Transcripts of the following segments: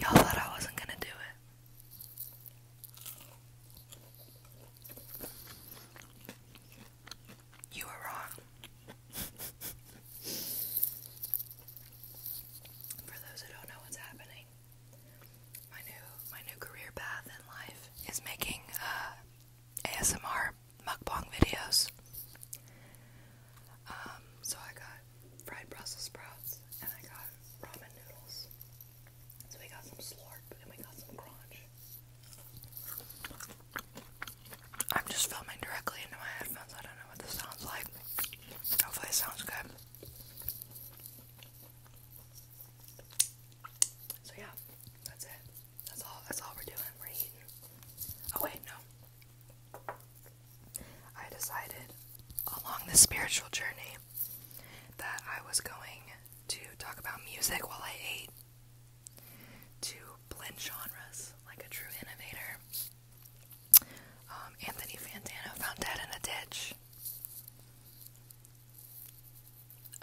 Y'all thought I wasn't gonna do it. You were wrong. For those who don't know what's happening, my new my new career path in life is making uh, ASMR mukbang videos. Um, so I got fried Brussels sprouts and I got ramen noodles. So we got some slurp and we got some crunch. I'm just filming directly into my headphones. I don't know what this sounds like. Hopefully it sounds good. So yeah, that's it. That's all that's all we're doing. We're eating. Oh wait, no. I decided along this spiritual journey that I was going to talk about music while I ate, to blend genres like a true innovator. Um, Anthony Fantano found dead in a ditch.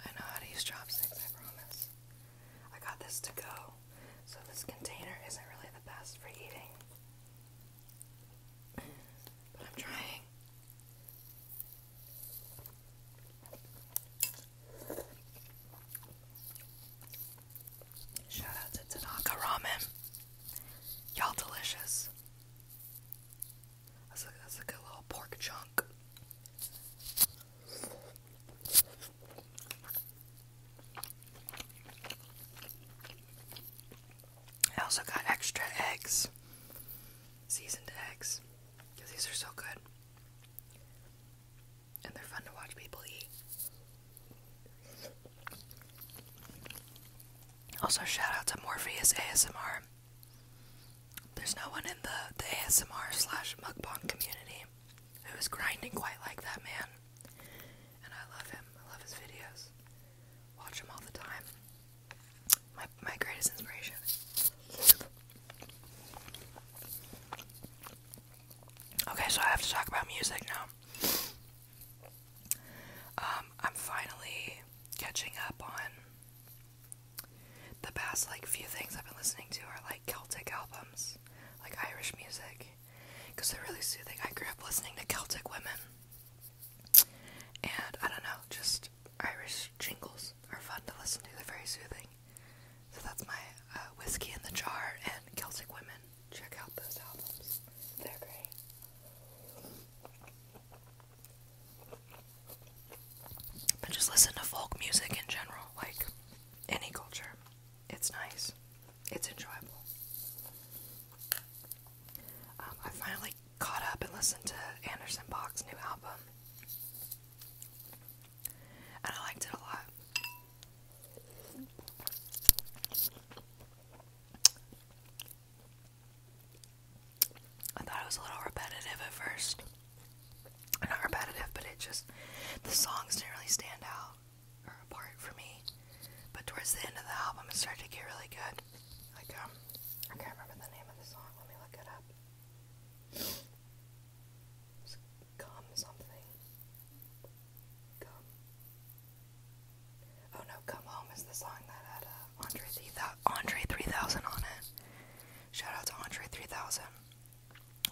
I know how to use chopsticks, I promise. I got this to go, so this container isn't really the best for eating but I'm trying. Shout out to Tanaka Ramen. Y'all delicious. That's a, good little pork chunk. I also got extra eggs, seasoned eggs, these are so good. And they're fun to watch people eat. Also, shout out to Morpheus ASMR. There's no one in the, the ASMR slash mukbang community who is grinding quite like that man and I love him. I love his videos. Watch him all the time. My my greatest inspiration. Okay, so I have to talk about music now. Um, I'm finally catching up on the past like few things I've been listening to are like Celtic albums, like Irish music because they're really soothing. I grew up listening to Celtic women, and I don't know, just Irish jingles are fun to listen to. They're very soothing. So that's my uh, whiskey in the jar and Celtic women. Check out those albums; they're great. But just listen to folk music in general, like any culture. It's nice. It's enjoyable. Um, I finally caught up and listened to Anderson Bach's new album, and I liked it a lot. I thought it was a little repetitive at first. Not repetitive, but it just the songs didn't really stand out or apart for me. But towards the end of the album, it started to get really good. Like um, I can't remember the name of the song. Let me look it up. It's something. Gum. Oh no, Come Home is the song that had uh, Andre 3000 on it. Shout out to Andre 3000.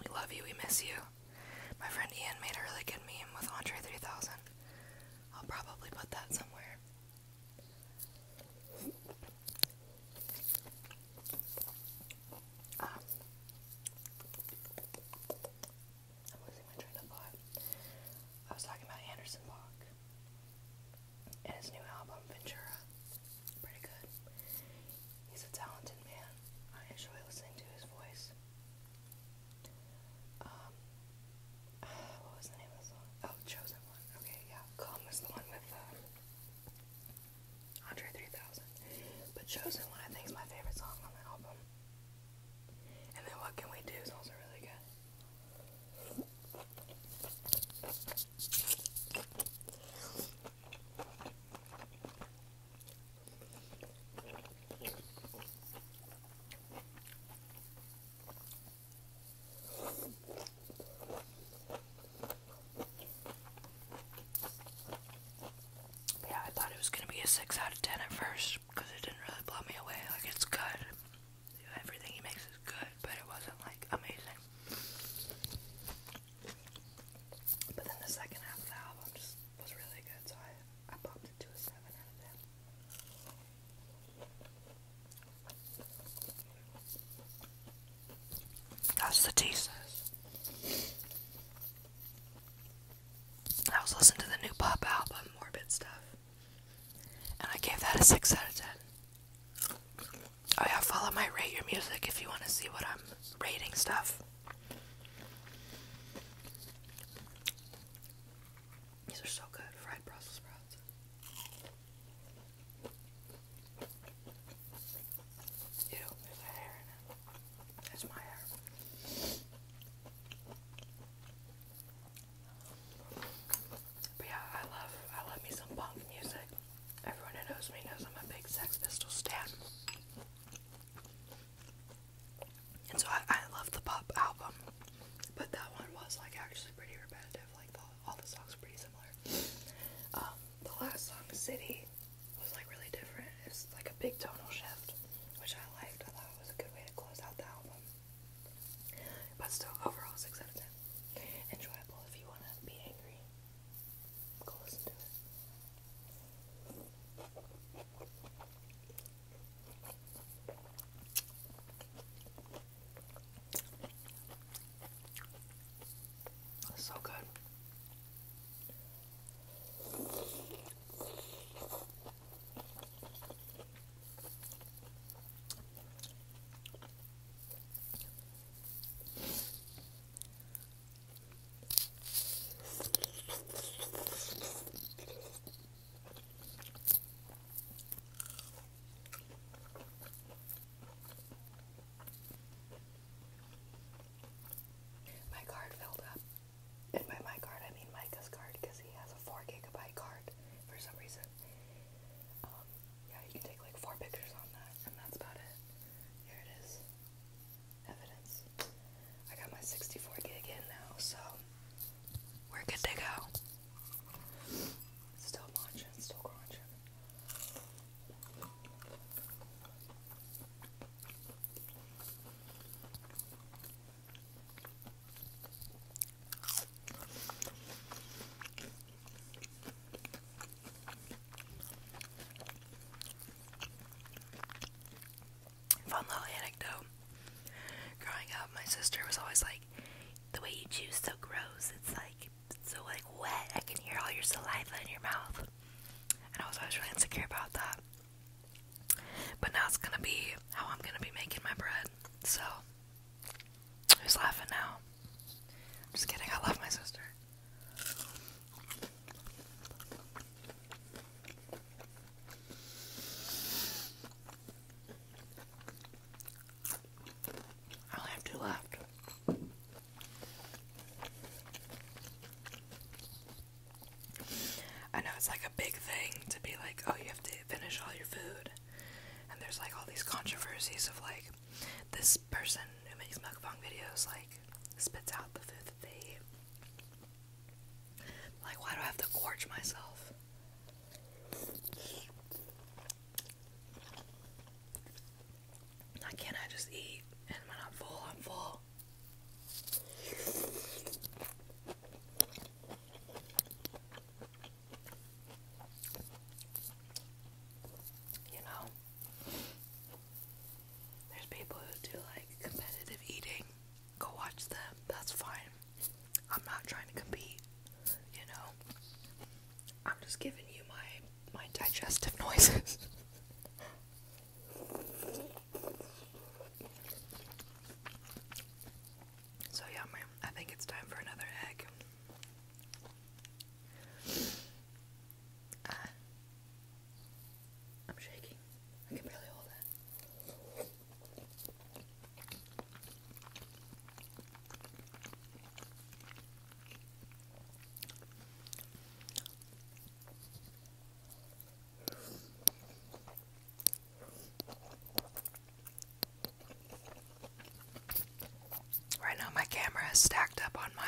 We love you, we miss you. My friend Ian made a really good meme with Andre 3000. I'll probably put that somewhere. Ah. I'm losing my train of thought. I was talking about Anderson Block and his new album, Ventura. Pretty good. He's a talented man. I enjoy listening to his voice. Um, what was the name of the song? Oh, Chosen One. Okay, yeah. Calm was the one with um, Andre 3000. But Chosen One, I think, is my favorite song on the album. And then What Can We Do is also really good yeah, I thought it was gonna be a 6 out of 10 at first because it didn't really blow me away. Like, it's good. Everything he makes is good, but it wasn't like amazing. But then the second half of the album just was really good, so I, I popped it to a 7 out of 10. That's the tea I was listening to the new pop album, Morbid Stuff, and I gave that a 6 out of 10. Oh, yeah, follow my Rate Your Music if you want to see what I'm rating stuff. These are so good, fried Brussels sprouts. Ew, there's hair in it. That's my hair. But yeah, I love I love me some punk music. Everyone who knows me knows I'm a big Sex Pistols stan. And so I, I love the pop album, but that one was like actually pretty repetitive. Like all the songs were pretty similar. Um, the last song, City, was like really different. It's like a big tonal shift, which I liked. I thought it was a good way to close out the album. But still, overall, six out of ten. Enjoyable if you want to be angry. Go listen to it. That's so good. My card filled up. And by my card, I mean Micah's card because he has a 4 gigabyte card for some reason. Um, yeah, you can take like four pictures on that, and that's about it. Here it is. Evidence. I got my 64 gig in now, so we're good to go? Still munching, still crunching. Fun little anecdote. Growing up, my sister was always like, "The way you chew's so gross. It's like so like wet. I can hear all your saliva in your mouth." And I was always really insecure about that. But now it's gonna be how I'm gonna be making my bread. So, who's laughing now? just kidding. I love my sister. I'll have two left. I know it's like a big thing to be like, oh, you have to finish all your food. And there's like all these controversies of like, this person who makes mukbang videos like spits out the food that they Like, why do I have to gorge myself? I can't I just eat I'm full, I'm full. You know, there's people who do like competitive eating. Go watch them. That's fine. I'm not trying to compete, you know. I'm just giving you my my digestive noises. so yeah, I think it's time for another egg. Uh, I'm shaking. I can barely hold it. Right now my camera is stacked up on my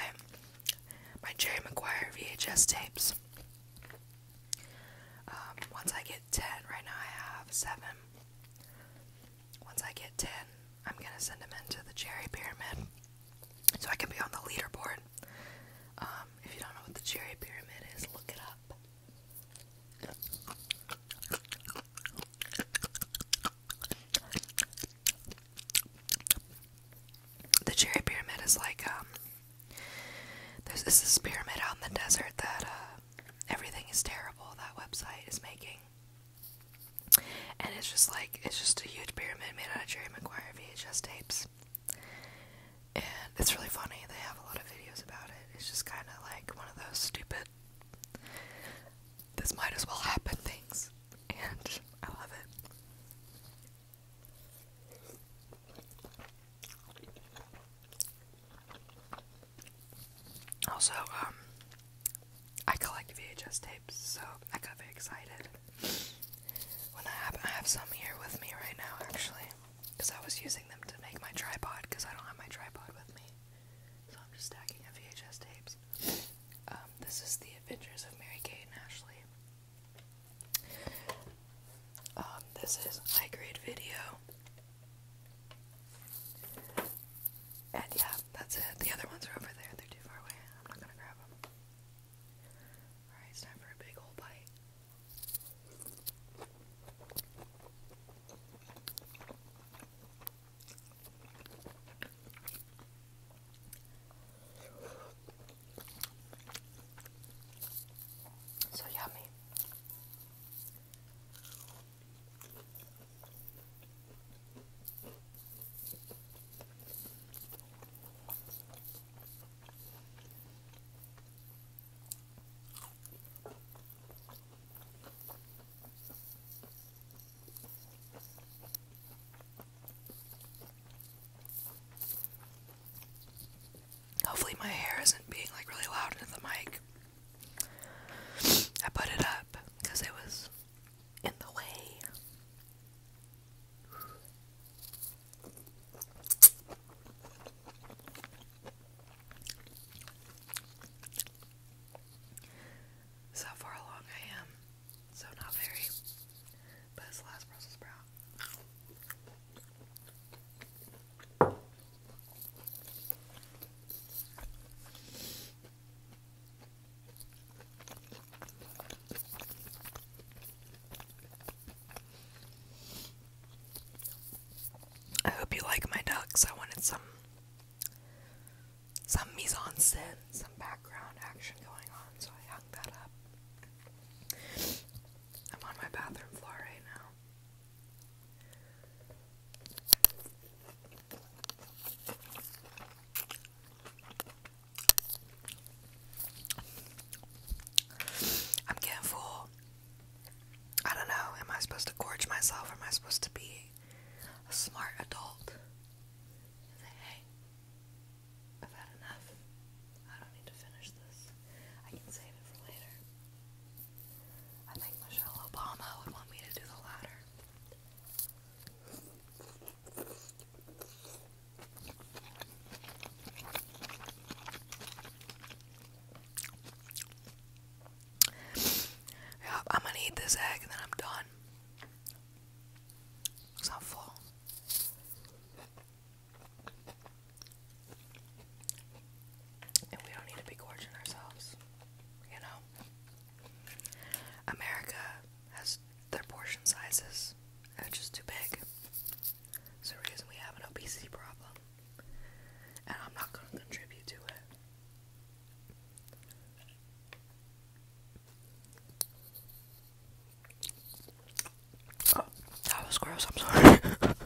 my Jerry Maguire VHS tapes. Um, once I get 10, right now I have 7. Once I get 10, I'm gonna send them into the cherry pyramid so I can be on the leaderboard. Um, if you don't know what the cherry pyramid is, look it up. The cherry pyramid is like um there's this, pyramid out in the desert that uh, everything is terrible that website is making. And it's just like it's just a huge pyramid made out of Jerry Maguire VHS tapes. And it's really funny. They have a lot of videos about it. It's just kind of like one of those stupid this might as well happen things. And I love it. Also, um, I collect VHS tapes, so I got very excited when I have, some here with me right now, actually, because I was using them to make my tripod, because I don't have my tripod with me, so I'm just stacking VHS tapes. Um, this is The Adventures of Mary Kate and Ashley. Um, this is my grade video. And yeah, that's it. The other ones are over there. They're too far away. I'm not gonna grab them. Alright, it's time for a big old bite. So yummy. Hopefully, my hair isn't being like really loud into the mic. I put it up because it was in the way. So far along I am. So not very. But it's last Brussels sprout. I hope you like my ducks. I wanted some some mise en scène, some background action going on, so I hung that up. I'm on my bathroom floor right now. I'm getting full. I don't know. Am I supposed to gorge myself? Or am I supposed to be a smart adult? And say, hey, I've had enough. I don't need to finish this. I can save it for later. I think Michelle Obama would want me to do the latter. I'm gonna eat this egg and then I'm done. It's not full. And we don't need to be gorging ourselves, you know? America has their portion sizes are just too big. It's the reason we have an obesity problem. And I'm not going to contribute to it. Oh, that was gross. I'm sorry.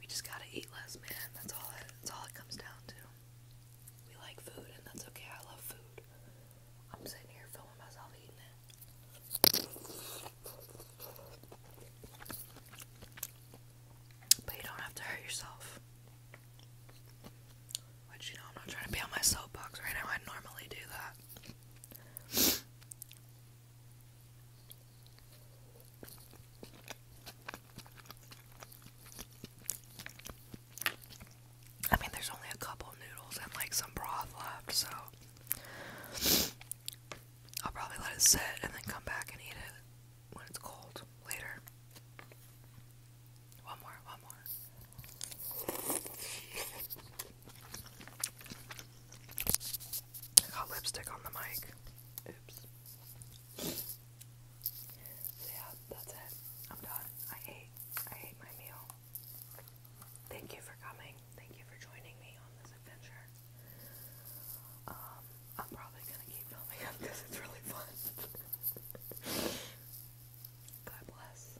We just gotta eat less, man. That's all it, that's all it comes down to. We like food, and that's okay. I love food. I'm sitting here filming myself eating it. But you don't have to hurt yourself. Which, you know, I'm not trying to be on my soapbox right now. I normally do that. I mean, there's only a couple noodles and like some broth left, so I'll probably let it sit and then come back and eat it when it's cold later. One more, one more. I got lipstick on the mic. Oops. yeah, that's it. I'm done. I ate. I ate my meal. Thank you for coming. Thank you for joining me on this adventure. Um, I'm probably gonna keep filming up it's really fun. God bless.